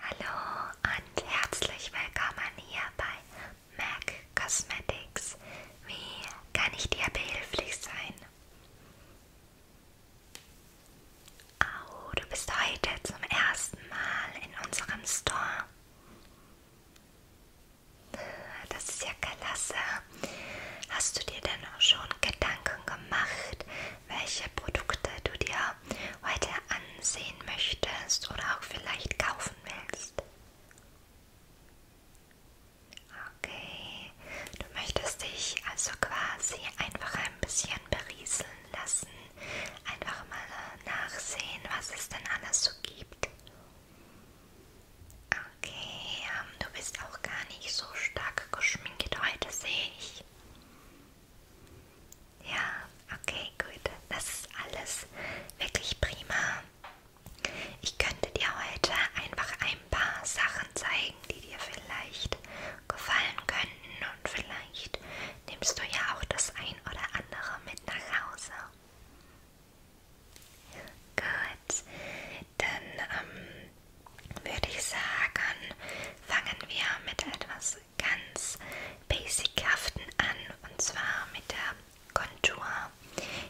Hallo und herzlich willkommen hier bei MAC Cosmetics. Wie kann ich dir behilflich sein? Oh, du bist heute zum ersten Mal in unserem Store. Das ist ja klasse. Hast du dir denn auch schon Gedanken gemacht, welche Produkte du dir dir heute ansehen möchtest oder auch vielleicht kaufen willst. Okay, du möchtest dich also quasi einfach ein bisschen berieseln lassen, einfach mal nachsehen, was es denn alles so gibt. Okay, ähm, du bist auch gar nicht so stark geschminkt heute, sehe ich. Ja, okay, gut. Das ist alles wirklich prima. Ich könnte dir heute einfach ein paar Sachen zeigen, die dir vielleicht gefallen könnten und vielleicht nimmst du ja auch das ein oder andere mit nach Hause. Gut, dann ähm, würde ich sagen, fangen wir mit etwas ganz basichaften an und zwar mit der Kontur.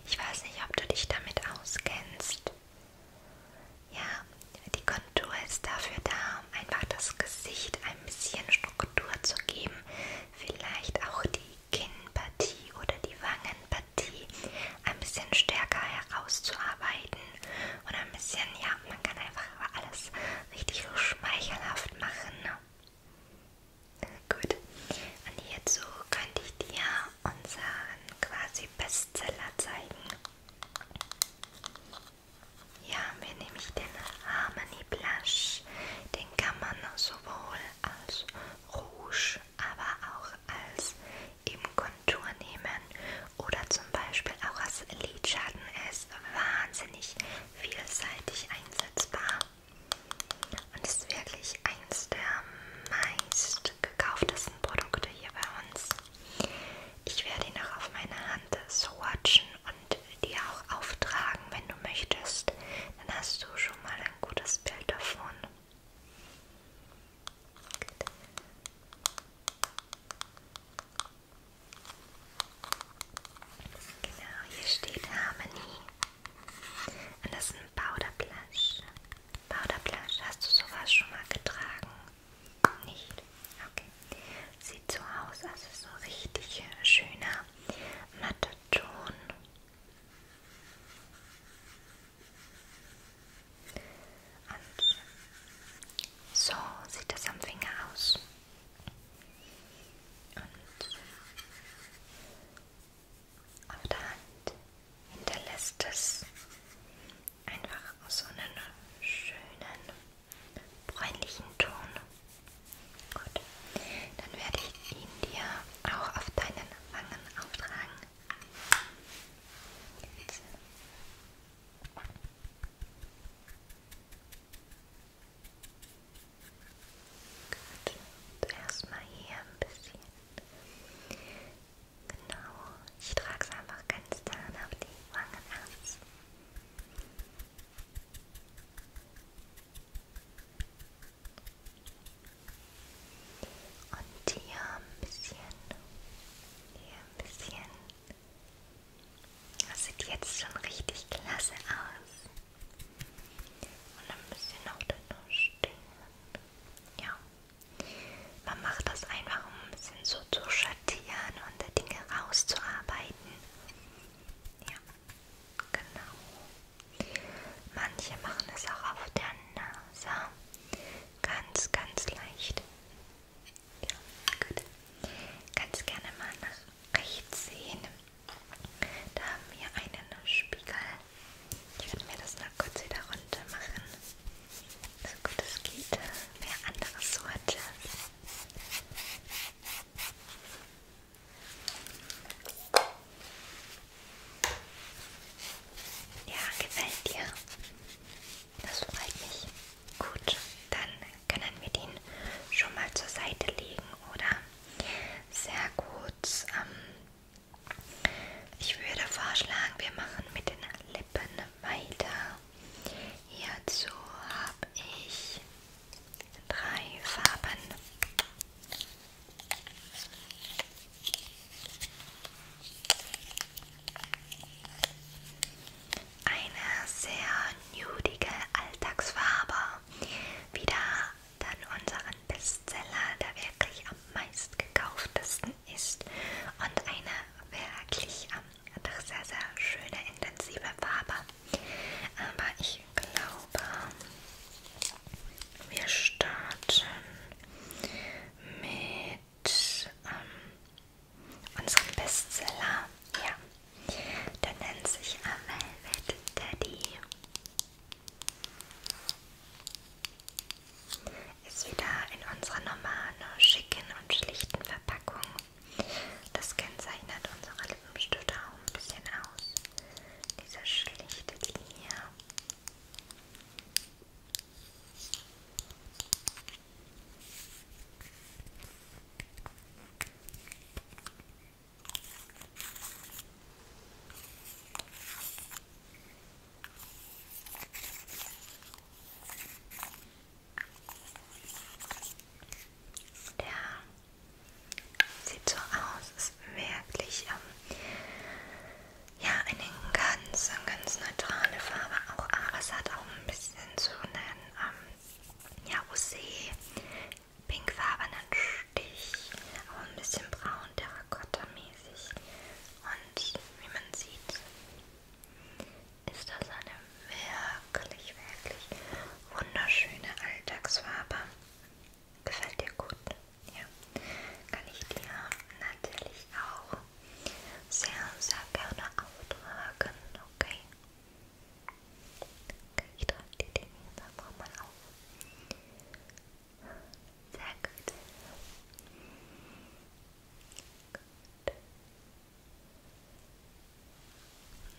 Ich weiß nicht, ob du dich damit auskennst. Ja, die Kontur ist dafür da, um einfach das Gesicht ein bisschen Struktur zu geben. Vielleicht auch die Kinnpartie oder die Wangenpartie ein bisschen stärker herauszuarbeiten. Oder ein bisschen, ja, man kann einfach alles richtig so schmeichelhaft machen. Ne? Gut. Und hierzu könnte ich dir unseren quasi Bestseller zeigen. Hier haben wir nämlich den Harmony Blush. Den kann man sowohl als Rouge, aber auch als eben Kontur nehmen oder zum Beispiel auch als Lidschatten. Er ist wahnsinnig vielseitig einsetzbar und ist wirklich eins der meist gekauftesten Produkte hier bei uns. Ich werde ihn auch auf meiner Hand swatchen und dir auch auftragen, wenn du möchtest. Dann hast du schon mal ein gutes Bild davon. Genau, hier steht Harmony. Und das ist ein Powder Blush. Powder Blush, hast du sowas schon mal getragen? Nicht? Okay. Sieht so aus, also so richtig schöner, matter Ton an. So sieht das am Finger aus. Und auf der Hand hinterlässt es einfach so einen schönen bräunlichen Ton. Gut, dann werde ich ihn dir auch auf deinen Wangen auftragen. Jetzt Gut, und erstmal hier ein bisschen. Genau, ich trage es einfach ganz dann auf die Wangen aus. Und hier ein bisschen, hier ein bisschen. Das sieht jetzt schon richtig klasse aus. Und ein bisschen noch da stehen. Ja. Man macht das einfach, um ein bisschen so zu schattieren und Dinge rauszuarbeiten. Ja, genau. Manche machen es auch auf der Nase. Ganz, ganz leicht. Ja, gut. Kannst gerne mal nach rechts sehen. Da haben wir einen Spiegel. Ich werde mir das noch kurz wieder runter machen. So gut es geht. Wer andere Sorte. Ja, gefällt dir. Das freut mich. Gut, dann können wir den schon mal zur Seite legen, oder? Sehr gut. Ähm, ich würde vorschlagen, wir machen mit den Lippen weiter. Hierzu habe ich drei Farben. Eine sehr nudige Alltagsfarbe. Wieder dann unseren Bestseller, der wirklich am meist gekauftesten ist. Und eine wirklich ähm, doch sehr, sehr schöne, intensive Farbe. Aber ich glaube, wir starten mit mit ähm, unserem Bestseller. Ja, der nennt sich A Velvet Daddy. Ist wieder in unserer normalen, schicken und schlichten Verpackung. Das kennzeichnet unsere Lippenstifte auch ein bisschen aus. Diese schlichte Linie. Der sieht so aus, ist wirklich ähm, ja, eine ganz, ganz neutrale Farbe. Auch Ares hat auch ein bisschen so einen ähm, ja, Rosé-pinkfarbenen Stich, auch ein bisschen braun, terrakotta-mäßig. Und wie man sieht, ist das eine wirklich, wirklich wunderschöne Alltagsfarbe. Gefällt dir gut? Ja. Kann ich dir natürlich auch sehr, sehr gerne auftragen, okay? Okay, ich trage die Dinge jetzt einfach mal auf. Sehr gut. Gut.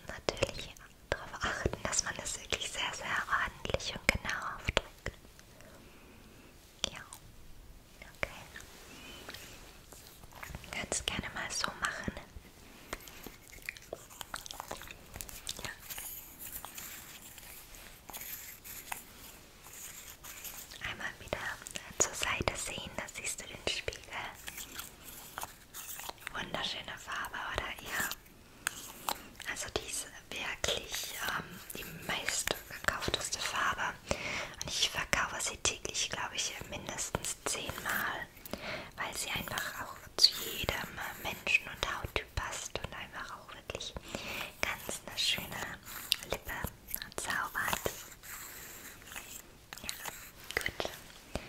Natürlich darauf achten, dass man es wirklich sehr, sehr ordentlich und genau aufträgt. Ja. Okay. Kannst gerne mal so machen. Ja. Einmal wieder zur Seite sehen, da siehst du den Spiegel. Wunderschöne Farbe, oder? Ja. Also diese wirklich ähm, die meist gekaufteste Farbe. Und ich verkaufe sie täglich, glaube ich, mindestens zehnmal, weil sie einfach auch zu jedem Menschen und Hauttyp passt und einfach auch wirklich ganz eine schöne Lippe zaubert. Ja, gut.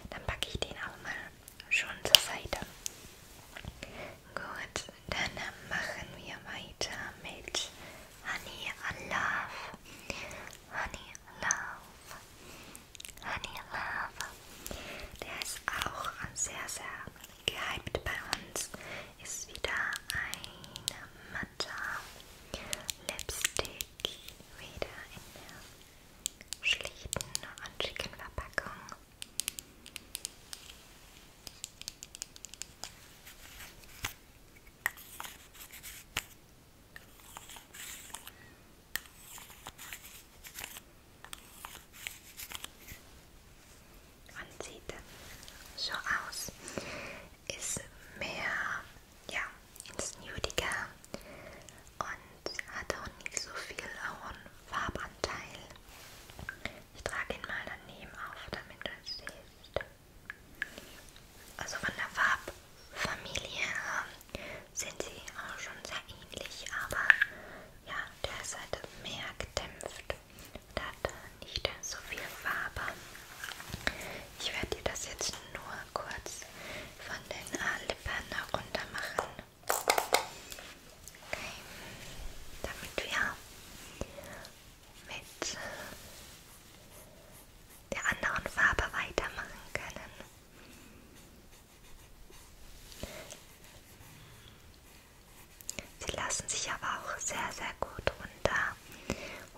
Dann packe ich den auch mal schon zur Seite. Gut, dann machen wir weiter mit Honey Love. Honey Love. Honey Love. Der ist auch sehr, sehr gehypt bei uns. Ist wieder ein matter Lipstick. Wieder in der schlichten und schicken Verpackung. Und sieht so aus. Ist mehr, ja, ins Nudige und hat auch nicht so viel hohen Farbanteil. Ich trage ihn mal daneben auf, damit du es siehst. Also von der Farbfamilie ähm, sind sie auch schon sehr ähnlich, aber ja, der ist halt mehr gedämpft und hat nicht so viel Farbe. Ich werde dir das jetzt nur kurz von den äh, Lippen herunter machen. Okay. Damit wir mit der anderen Farbe weitermachen können. Sie lassen sich aber auch sehr, sehr gut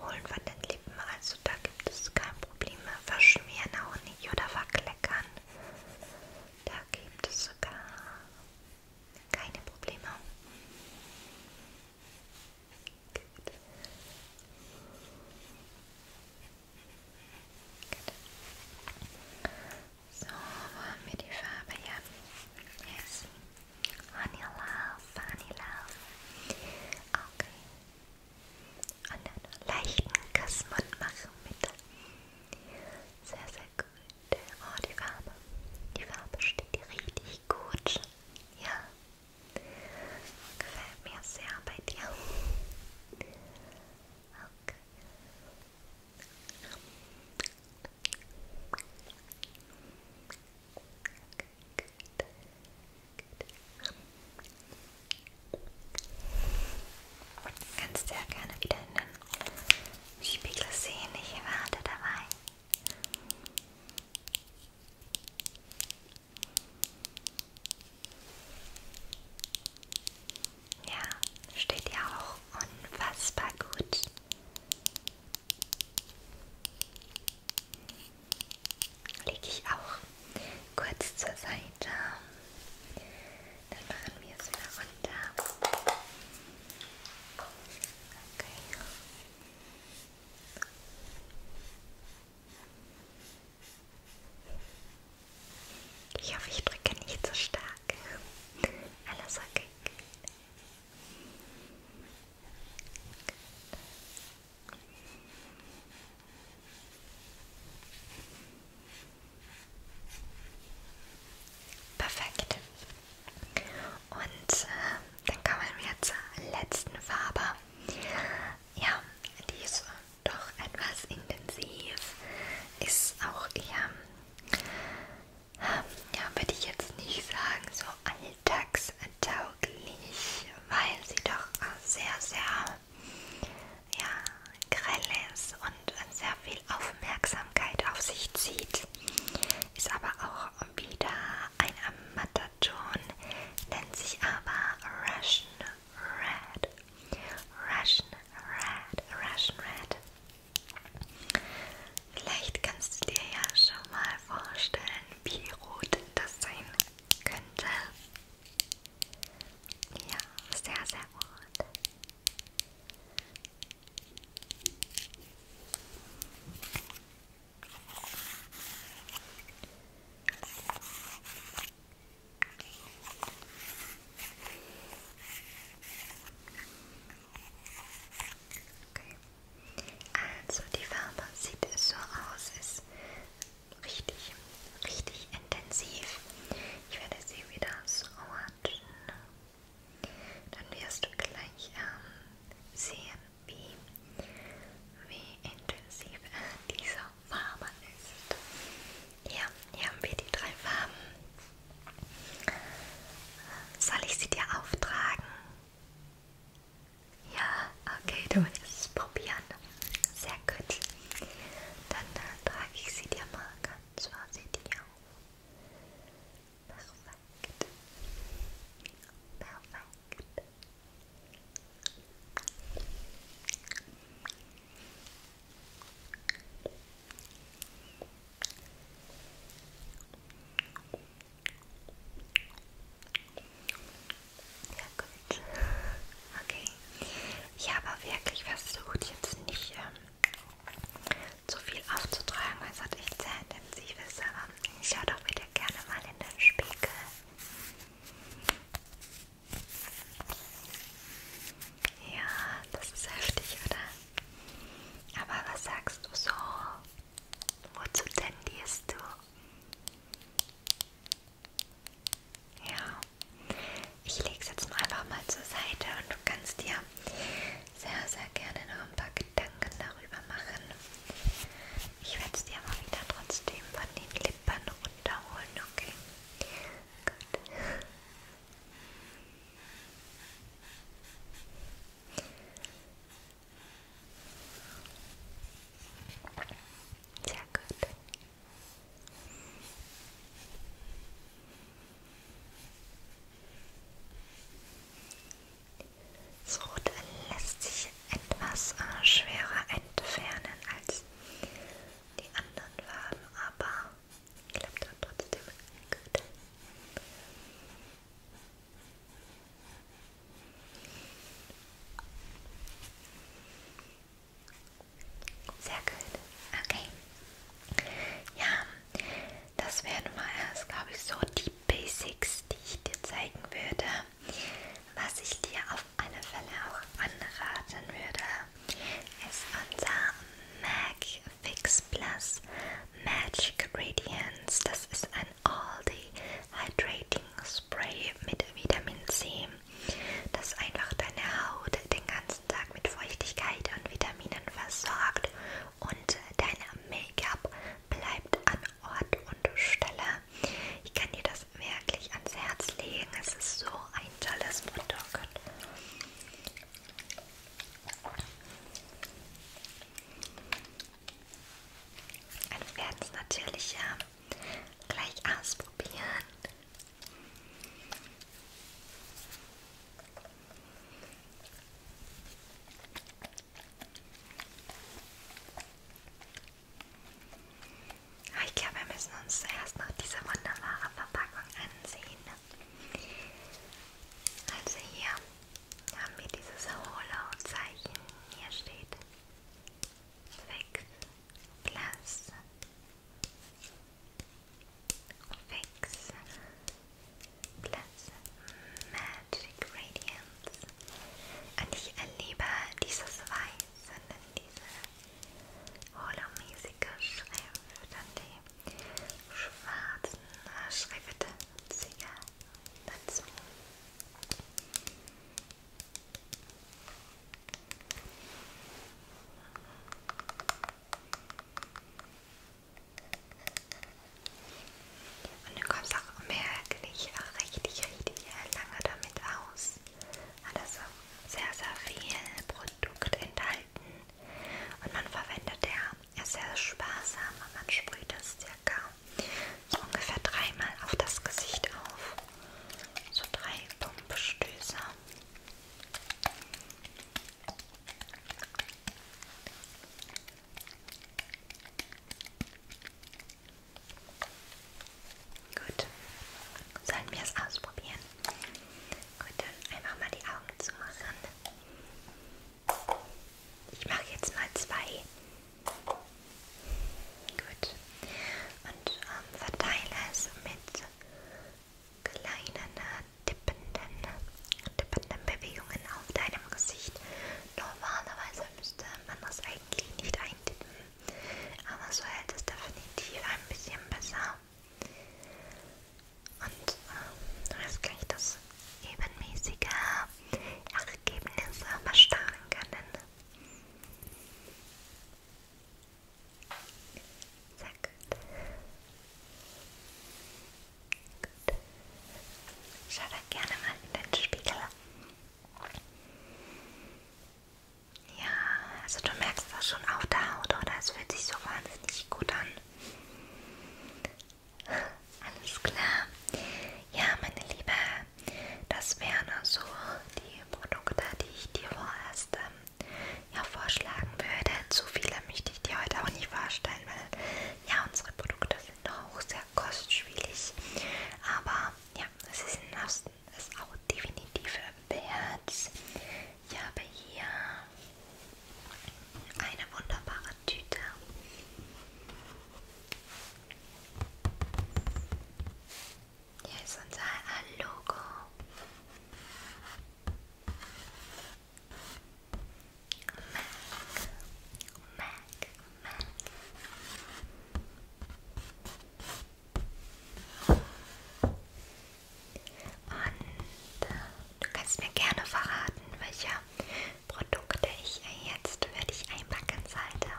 runterholen von den Lippen. Also da gibt es kein Problem. Verschmieren auch nicht oder verkleckern. Da gibt es sogar keine Probleme. Gut. Gut. So, wo haben wir die Farbe? Ja. Yes. Honey Love, Honey Love. Okay. Und dann leichten Kussmund machen mit. Sehr, sehr gut. Oh, die Farbe. Die Farbe steht dir richtig gut. Ja. Gefällt mir sehr bei dir. Okay. Okay, gut. Gut. Kannst sehr gerne wieder in den Spiegel sehen, ich werde dabei. Ja, steht ja auch unfassbar gut. Lege ich auch kurz zur Seite. Dann machen wir es wieder runter. Okay. Ich hoffe, ich drücke nicht so stark. Alles okay. Okay. Perfekt. Und äh, dann kommen wir zur letzten Farbe. Ja, die ist doch etwas intensiv. Ist auch eher, äh, ja, würde ich jetzt nicht sagen, so alltagstauglich, weil sie doch sehr, sehr ja, grell ist und und sehr viel Aufmerksamkeit auf sich zieht. Ist aber auch wieder ein Amataton, nennt sich aber Russian Red. Russian Red, Russian Red. Vielleicht kannst du dir ja schon mal vorstellen, wie rot das sein könnte. Ja, sehr, sehr rot. Okay. Also die Farbe sieht so aus, ist richtig, richtig intensiv. Ich werde sie wieder so ordnen. Dann wirst du gleich ähm, sehen, wie, wie intensiv äh, dieser Farbe ist. Ja, hier haben wir die drei Farben. Soll ich sie dir auftragen? Ja, okay, du willst es probieren. Sehr gut. Dann äh, trage ich sie dir mal ganz vorsichtig auf. Perfekt. Perfekt. Ja gut. Okay. Ich habe wirklich versucht, jetzt nicht ähm, zu viel aufzutragen. Es hat echt sehr intensiv ist, aber schau doch bitte gerne mal in den Spiegel. Ja, das ist heftig, oder? Aber was sagst du so? Wozu tendierst du? Ja. Ich lege es jetzt einfach mal zur Seite und du kannst dir sehr, sehr gerne noch ein paar Gedanken darüber machen. Ich werde es dir aber wieder trotzdem von den Lippen runterholen, okay? Gut. Sehr gut. Das Rote lässt sich etwas äh, schwerer entfernen als die anderen Farben, aber klappt dann trotzdem gut. Sehr gut. Okay. Ja, das wären mal erst, glaube ich, so die Basics, die ich dir zeigen würde. Was ich dir auf alle Fälle auch anraten würde, ist unser MAC Fix Plus Magic Radiance. Das ist ein All-Day Hydrating Spray mit Vitamin C dass einfach deine Haut den ganzen Tag mit Feuchtigkeit und Vitaminen versorgt und dein Make-up bleibt an Ort und Stelle. Ich kann dir das wirklich ans Herz legen. Es ist so ein tolles Produkt. Also Dann werden es natürlich ja äh, gleich ausprobieren. Ah, ich glaube, wir müssen uns erst noch diese wunderbare Verpackung ansehen. Also hier haben wir dieses hohle Zeichen. Hier steht Fix Plus Fix Platz Magic Radiance und ich erlebe dieses Weiß und diese holomäßige Schrift und die schwarzen äh, Schriftzüge dazu. Und du kommst auch merklich, auch richtig, richtig lange damit aus. Hat also sehr, sehr viel Produkt enthalten. Und man verwendet ja, er sehr sparsam und man sprüht das circa so ungefähr dreimal auf das Gesicht auf. So drei Pumpstöße. Gut, sollen wir es ausprobieren? Gut, dann einfach mal die Augen zu machen. Ich mache jetzt mal zwei. Gut. Und ähm, verteile es mit kleinen tippenden, tippenden Bewegungen auf deinem Gesicht. Normalerweise müsste man das eigentlich nicht eintippen, aber so hält es definitiv ein bisschen besser. Und äh, jetzt kann ich das ebenmäßige Ergebnis bestarren äh, können. Sehr gut. Gut. Schau da gerne mal in den Spiegel. Ja, also du merkst das schon auf der Haut, oder? Es fühlt sich so wahnsinnig gut an. Alles klar. Ja, meine Liebe, das wären also die die Produkte, die ich dir vorerst ähm, ja, vorschlagen würde. Zu viele möchte ich dir heute auch nicht vorstellen, weil ja, unsere Produkte sind auch sehr kostspielig. Aber ja, sie sind aus, ist auch definitiv wert. Ich habe hier eine wunderbare Tüte. Hier ist unser Logo. Mac, Mac, Mac. Und äh, du kannst mir gerne verraten, welche Produkte ich jetzt für dich einpacken sollte.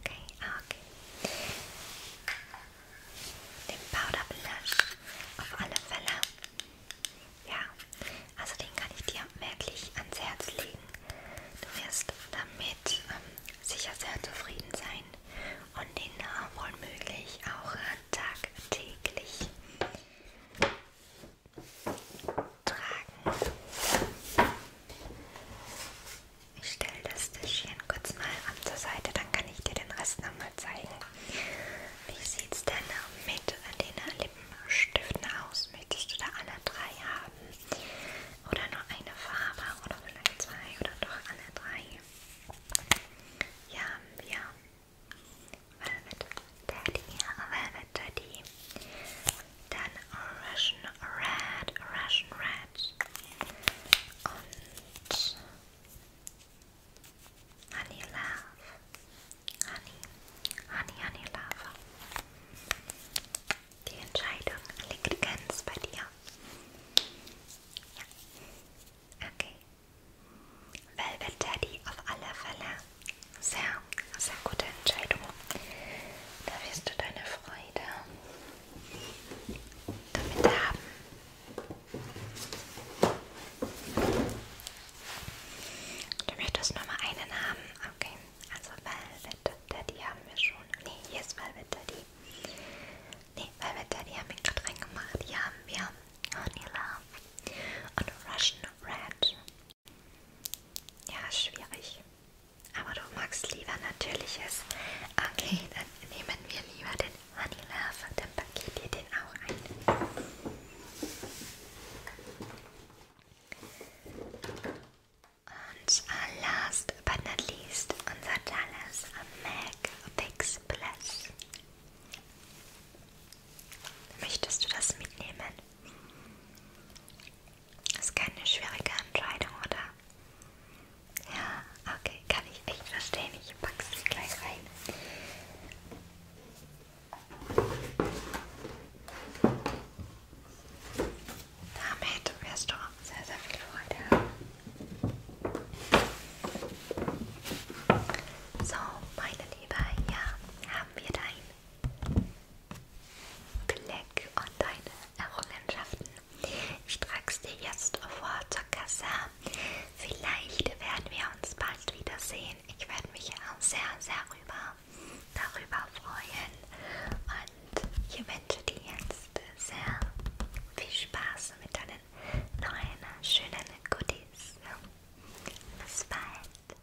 Okay, ah, okay. Den Powder Blush auf alle Fälle. Ja, also den kann ich dir merklich ans Herz legen. Du wirst damit ähm, sicher sehr zufrieden sein und den äh, wohl möglich auch äh, tagtäglich tragen. Ich stelle das Tischchen kurz mal an zur Seite, dann kann ich dir den Rest nochmal zeigen. Wie sieht es denn mit den Lippenstiften aus? Möchtest du da alle drei haben? Oder nur eine Farbe? Oder vielleicht zwei? Oder doch alle drei? Ja, ja. Velvet Daddy, Velvet Daddy. Then Russian red, Russian red honey love, honey, honey, honey love. Die Entscheidung liegt ganz bei dir. Ja. Okay. Velvet Teddy auf alle Fälle. Sehr, sehr gute Entscheidung. Da wirst du deine Freude damit haben. Du möchtest nur mal einen haben. Okay, also Velvet Daddy haben wir schon. Nee, hier ist Velvet Daddy. Nee, Velvet Daddy haben wir gerade reingemacht. Hier haben wir Honey Love und Russian Red. Ja, schwierig. Aber du magst lieber Natürliches. Okay, dann nehmen wir lieber den Honey Love und dann packe ich dir den auch ein. Und uh, last but not least, unser tolles MAC Fix Plus. Möchtest du das mitnehmen? Das ist keine schwierige Entscheidung, oder? Ja, okay, kann ich echt verstehen. Ich packe sie gleich rein. Damit wirst du sehr, sehr viel Freude haben. So, meine Liebe, ja, haben wir dein Blick und deine Errungenschaften. Ich trage es dir jetzt vor zur Kasse. Vielleicht werden wir uns bald wiedersehen. Ich werde mich auch sehr, sehr rüber, darüber freuen. Und ich wünsche dir jetzt sehr viel Spaß mit deinen neuen, schönen Goodies. Bis bald.